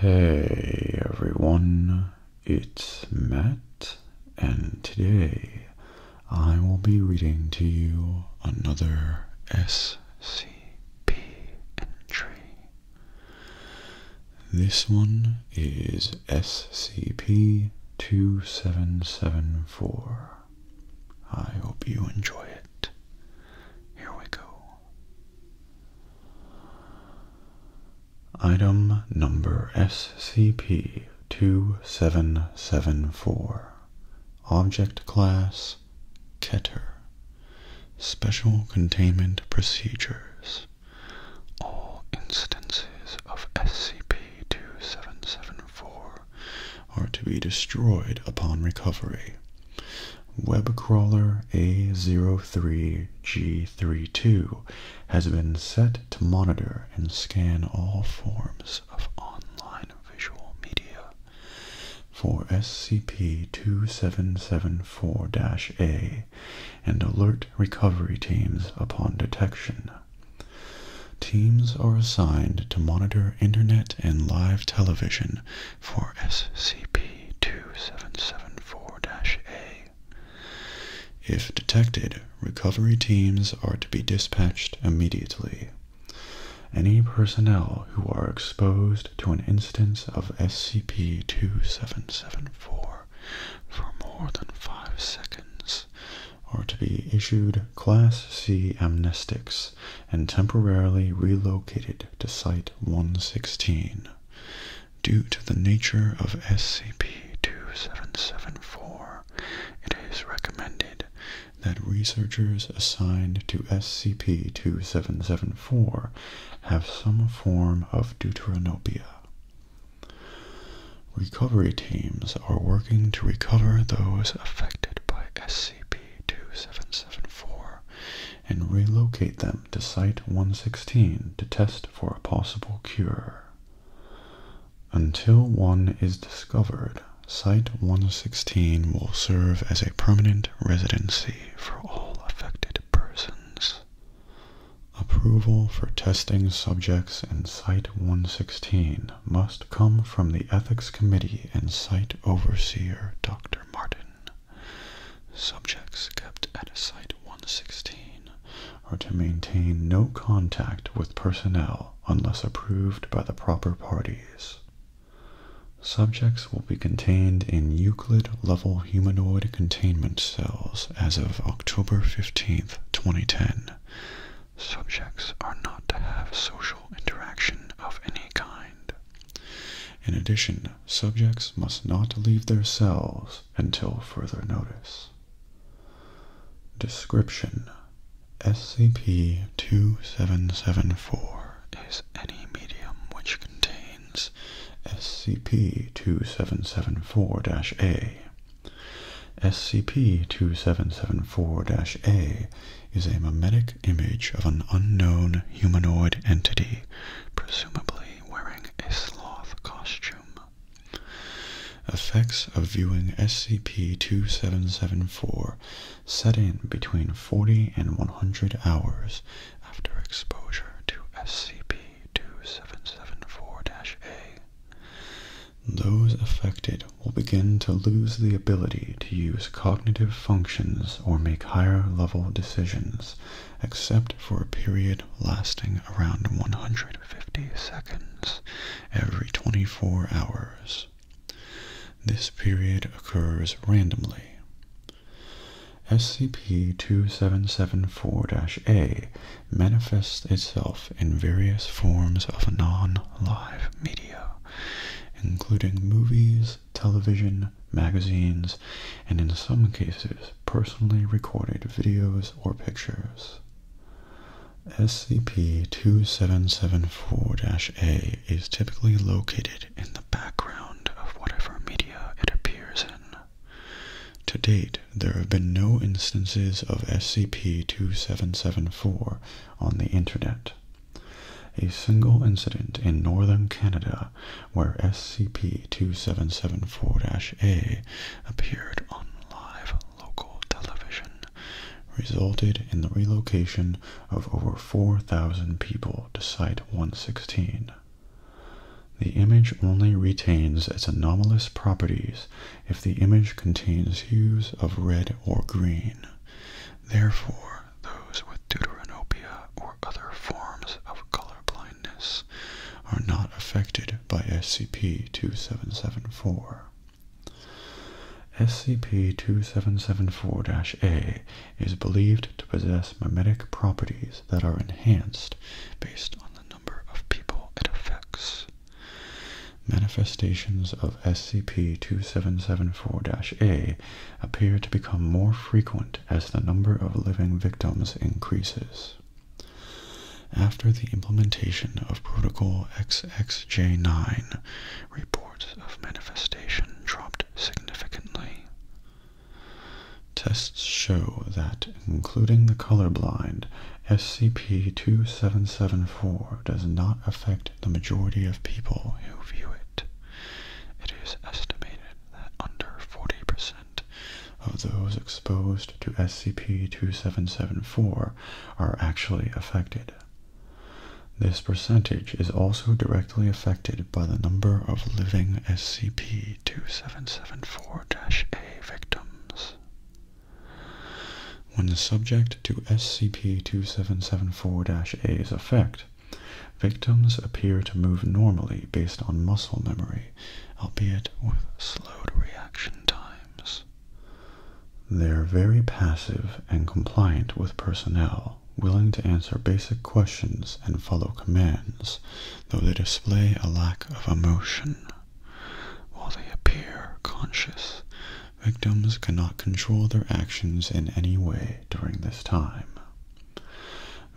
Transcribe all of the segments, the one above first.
Hey everyone, it's Matt, and today I will be reading to you another SCP entry. This one is SCP-2774. I hope you enjoy it. Here we go. Item number SCP-2774. Object class Keter. Special containment procedures. All instances of SCP-2774 are to be destroyed upon recovery. Webcrawler A03G32 has been set to monitor and scan all forms of online visual media for SCP-2774-A and alert recovery teams upon detection. Teams are assigned to monitor internet and live television for SCP-2774-A. If detected, recovery teams are to be dispatched immediately. Any personnel who are exposed to an instance of SCP-2774 for more than five seconds are to be issued Class C amnestics and temporarily relocated to Site 116. Due to the nature of SCP-2774, it is recommended that researchers assigned to SCP-2774 have some form of deuteranopia. Recovery teams are working to recover those affected by SCP-2774 and relocate them to Site-116 to test for a possible cure. Until one is discovered, Site-116 will serve as a permanent residency for all affected persons. Approval for testing subjects in Site 116 must come from the Ethics Committee and Site Overseer Dr. Martin. Subjects kept at Site 116 are to maintain no contact with personnel unless approved by the proper parties. Subjects will be contained in Euclid level humanoid containment cells as of October fifteenth, 2010. Subjects are not to have social interaction of any kind. In addition, subjects must not leave their cells until further notice. Description SCP 2774 is any medium which contains SCP-2774-A. SCP-2774-A is a mimetic image of an unknown humanoid entity, presumably wearing a sloth costume. Effects of viewing SCP-2774 set in between 40 and 100 hours after exposure to SCP 2774-A. Those affected will begin to lose the ability to use cognitive functions or make higher level decisions, except for a period lasting around 150 seconds every 24 hours. This period occurs randomly. SCP-2774-A manifests itself in various forms of non-live media, including movies, television, magazines, and in some cases, personally recorded videos or pictures. SCP-2774-A is typically located in the background of whatever media it appears in. To date, there have been no instances of SCP-2774 on the Internet. A single incident in northern Canada where SCP-2774-A appeared on live local television resulted in the relocation of over 4,000 people to Site 116. The image only retains its anomalous properties if the image contains hues of red or green. Therefore, those with deuteranopia or other forms of color blindness are not affected by SCP-2774. SCP-2774-A is believed to possess mimetic properties that are enhanced based on the number of people it affects. Manifestations of SCP-2774-A appear to become more frequent as the number of living victims increases. After the implementation of Protocol XXJ9, reports of manifestation dropped significantly. Tests show that, including the colorblind, SCP-2774 does not affect the majority of people who view it. It is estimated that under 40% of those exposed to SCP-2774 are actually affected. This percentage is also directly affected by the number of living SCP-2774 4-A victims. When subject to SCP-2774-A's effect, victims appear to move normally based on muscle memory, albeit with slowed reaction times. They're very passive and compliant with personnel, willing to answer basic questions and follow commands, though they display a lack of emotion. While they appear conscious, victims cannot control their actions in any way during this time.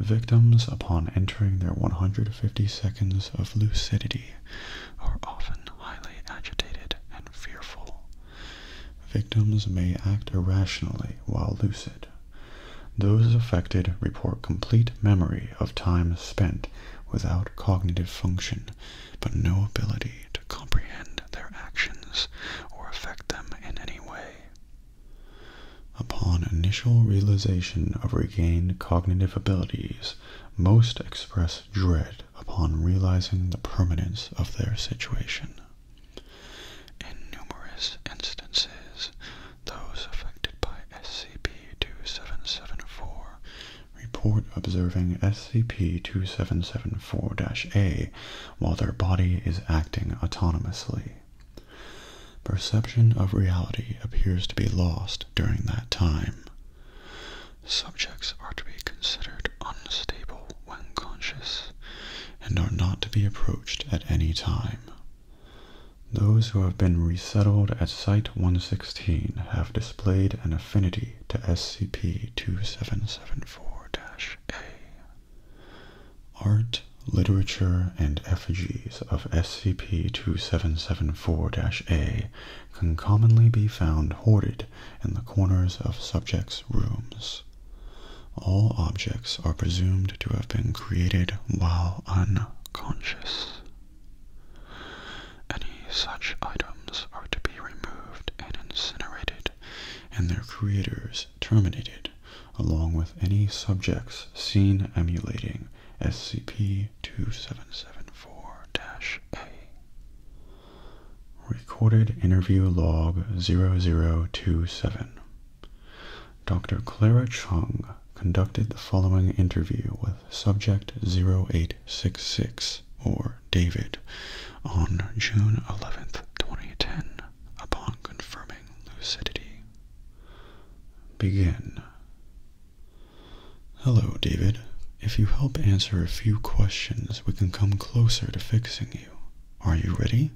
Victims, upon entering their 150 seconds of lucidity, are often highly agitated and fearful. Victims may act irrationally while lucid, those affected report complete memory of time spent without cognitive function, but no ability to comprehend their actions or affect them in any way. Upon initial realization of regained cognitive abilities, most express dread upon realizing the permanence of their situation. In numerous instances, those affected by SCP-2774 report observing SCP-2774-A while their body is acting autonomously. Perception of reality appears to be lost during that time. Subjects are to be considered unstable when conscious and are not to be approached at any time. Those who have been resettled at Site 116 have displayed an affinity to SCP-2774-A. Art, literature, and effigies of SCP-2774-A can commonly be found hoarded in the corners of subjects' rooms. All objects are presumed to have been created while unconscious. Any such items are to be removed and incinerated, and their creators terminated, along with any subjects seen emulating SCP-2774-A. Recorded Interview Log 0027 Dr. Clara Chung conducted the following interview with subject 0866 or David on June 11, 2010, upon confirming lucidity. Begin. Hello, David. If you help answer a few questions, we can come closer to fixing you. Are you ready?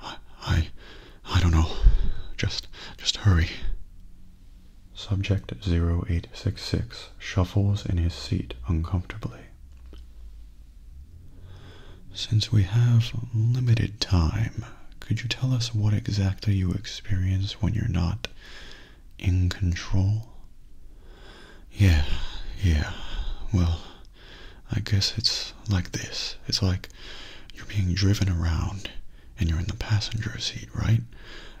I I don't know. Just just hurry. Subject 0866 shuffles in his seat uncomfortably. Since we have limited time, could you tell us what exactly you experience when you're not in control? Yeah, yeah. Well, I guess it's like this. It's like you're being driven around and you're in the passenger seat, right?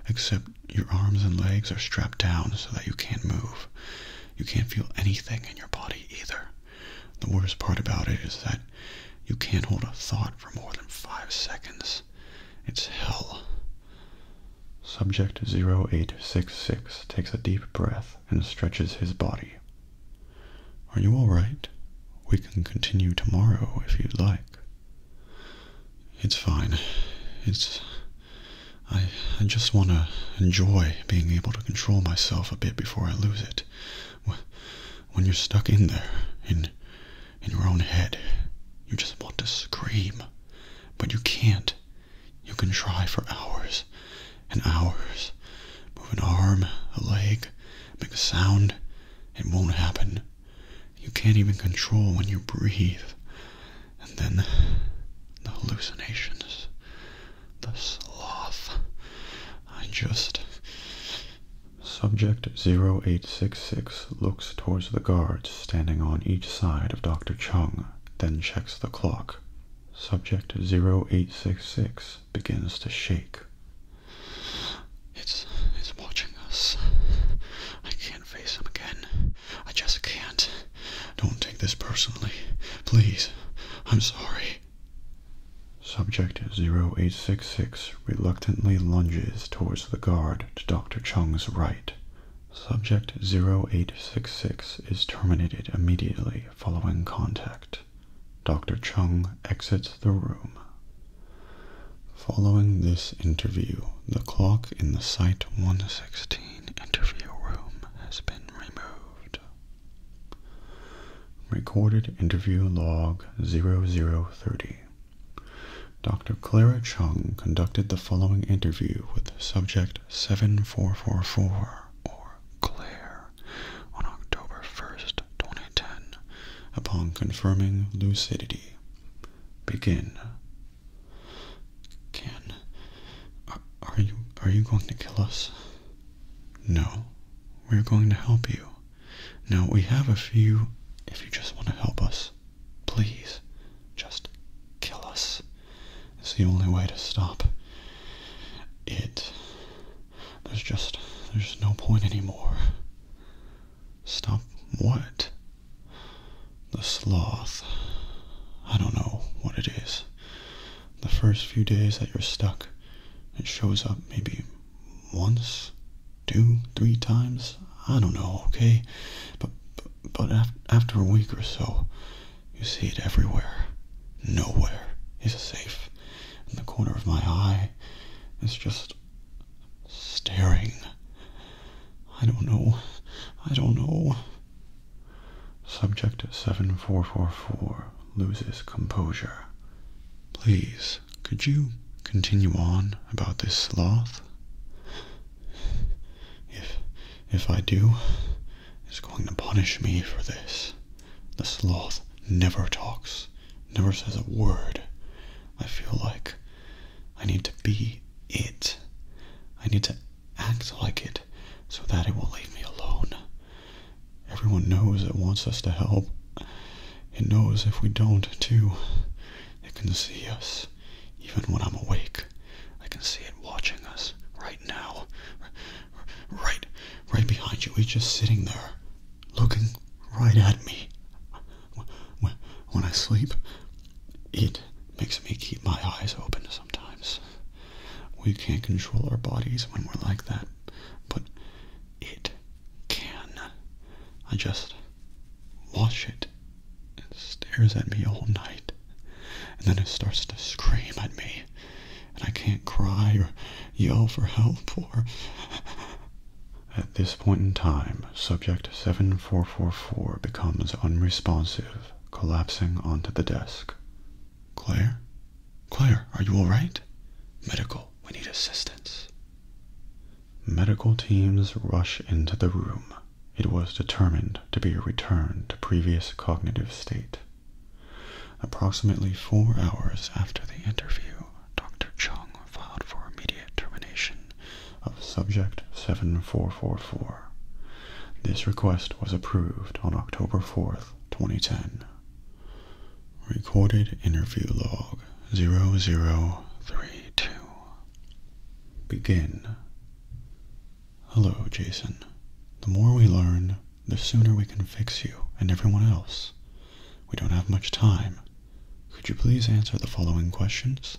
Except your arms and legs are strapped down so that you can't move. You can't feel anything in your body either. The worst part about it is that you can't hold a thought for more than five seconds. It's hell. Subject 0866 takes a deep breath and stretches his body. Are you all right? We can continue tomorrow if you'd like. It's fine. It's. I, I just want to enjoy being able to control myself a bit before I lose it. When you're stuck in there, in, in your own head, you just want to scream. But you can't. You can try for hours and hours. Move an arm, a leg, make a sound, it won't happen. You can't even control when you breathe. And then the hallucinations, the sloth. I just. Subject 0866 looks towards the guards standing on each side of Dr. Chung, then checks the clock. Subject 0866 begins to shake. It's it's watching us. I can't face him again. I just can't. Don't take this personally. Please. I'm sorry. Subject 0866 reluctantly lunges towards the guard to Dr. Chung's right. Subject 0866 is terminated immediately following contact. Dr. Chung exits the room. Following this interview, the clock in the Site 116 interview room has been removed. Recorded interview log 0030. Dr. Clara Chung conducted the following interview with subject 7444 or Claire on October 1, 2010, upon confirming lucidity. Begin. Can are, uh, are you are you going to kill us? No. We're going to help you. Now we have a few if you just want to help us, please just kill us. It's the only way to stop it. There's just, there's no point anymore. Stop what? The sloth. I don't know what it is. The first few days that you're stuck, it shows up maybe once, two, three times. I don't know, okay? But, but after a week or so, you see it everywhere. Nowhere is safe in the corner of my eye is just staring. I don't know. I don't know. Subject 7444 loses composure. Please, could you continue on about this sloth? If if I do, it's going to punish me for this. The sloth never talks never says a word. I feel like I need to be it. I need to act like it so that it will leave me alone. Everyone knows it wants us to help. It knows if we don't, too. It can see us, even when I'm awake. I can see it watching us right now. Right, right behind you. He's just sitting there, looking right at me when I sleep. It makes me keep my eyes open sometimes. We can't control our bodies when we're like that, but it can. I just watch it. and stares at me all night, and then it starts to scream at me, and I can't cry or yell for help or at this point in time, subject 7444 becomes unresponsive, collapsing onto the desk. Claire? Claire, are you all right? Medical, we need assistance. Medical teams rush into the room. It was determined to be a return to previous cognitive state. Approximately four hours after the interview, Dr. Chung filed for immediate termination of Subject 7444. This request was approved on October 4, 2010. Recorded Interview Log 0032. Begin. Hello, Jason. The more we learn, the sooner we can fix you and everyone else. We don't have much time. Could you please answer the following questions?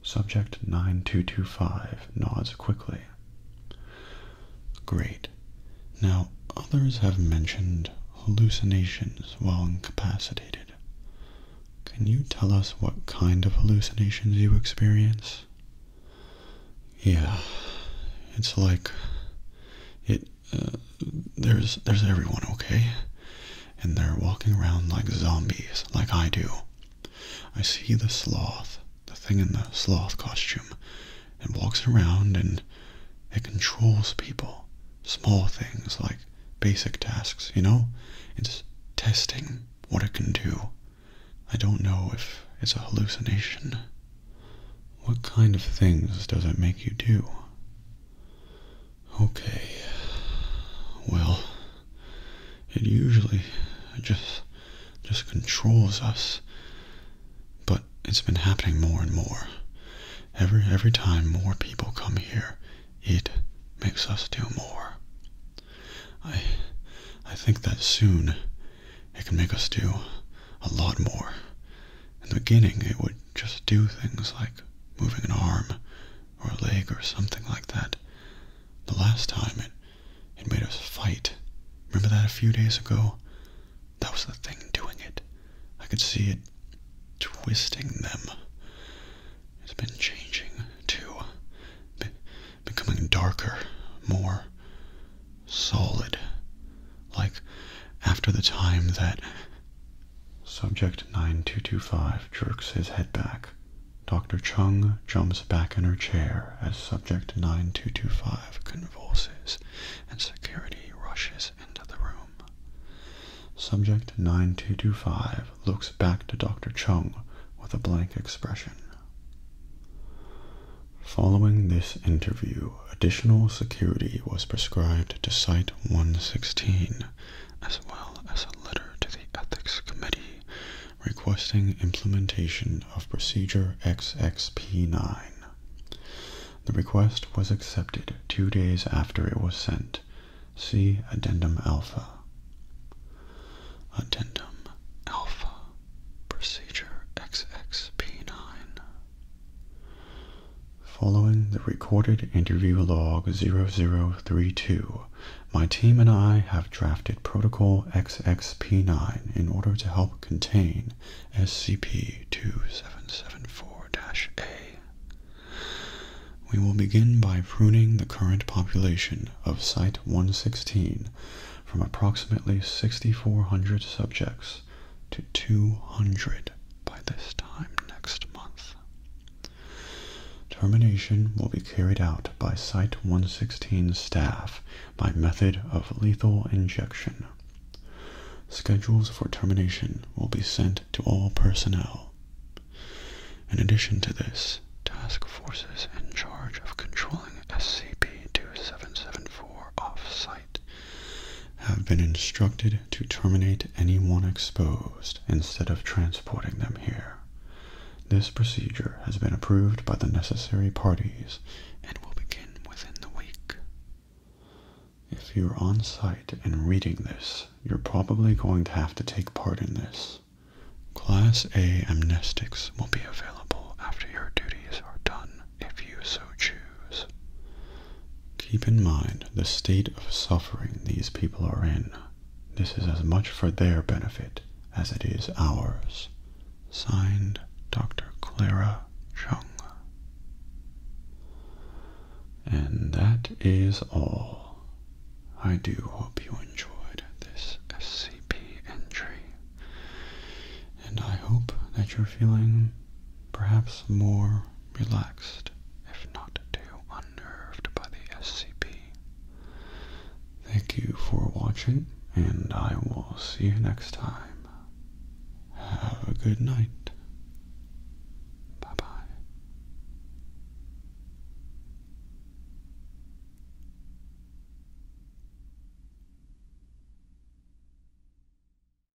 Subject 9225 nods quickly. Great. Now, others have mentioned hallucinations while incapacitated. Can you tell us what kind of hallucinations you experience? Yeah, it's like it uh, there's there's everyone okay, and they're walking around like zombies, like I do. I see the sloth, the thing in the sloth costume, and walks around and it controls people, small things like basic tasks. You know, it's testing what it can do. I don't know if it's a hallucination. What kind of things does it make you do? Okay. Well, it usually just just controls us. But it's been happening more and more. Every every time more people come here, it makes us do more. I I think that soon it can make us do a lot more. In the beginning, it would just do things like moving an arm or a leg or something like that. The last time it, it made us fight. Remember that a few days ago? That was the thing doing it. I could see it twisting them. It's been changing, too. becoming darker, more solid. Like after the time that Subject 9225 jerks his head back. Dr. Chung jumps back in her chair as Subject 9225 convulses and security rushes into the room. Subject 9225 looks back to Dr. Chung with a blank expression. Following this interview, additional security was prescribed to Site 116, as well as a letter to the Ethics Committee requesting implementation of Procedure XXP9. The request was accepted two days after it was sent. See Addendum Alpha. Addendum Alpha Procedure XXP9 Following the recorded interview log 0032, my team and I have drafted Protocol XXP9 in order to help contain SCP 2774 A. We will begin by pruning the current population of Site 116 from approximately 6,400 subjects to 200 by this time next month. Termination will be carried out by Site 116 staff by method of lethal injection. Schedules for termination will be sent to all personnel. In addition to this, task forces in charge of controlling SCP-2774 offsite have been instructed to terminate anyone exposed instead of transporting them here. This procedure has been approved by the necessary parties and will begin within the week. If you're on site and reading this, you're probably going to have to take part in this. Class A amnestics will be available after your duties are done if you so choose. Keep in mind the state of suffering these people are in. This is as much for their benefit as it is ours. Signed, Dr. Clara Chung. And that is all. I do hope you enjoyed this SCP entry. And I hope that you're feeling perhaps more relaxed, if not too unnerved by the SCP. Thank you for watching, and I will see you next time. Have a good night. Bye-bye.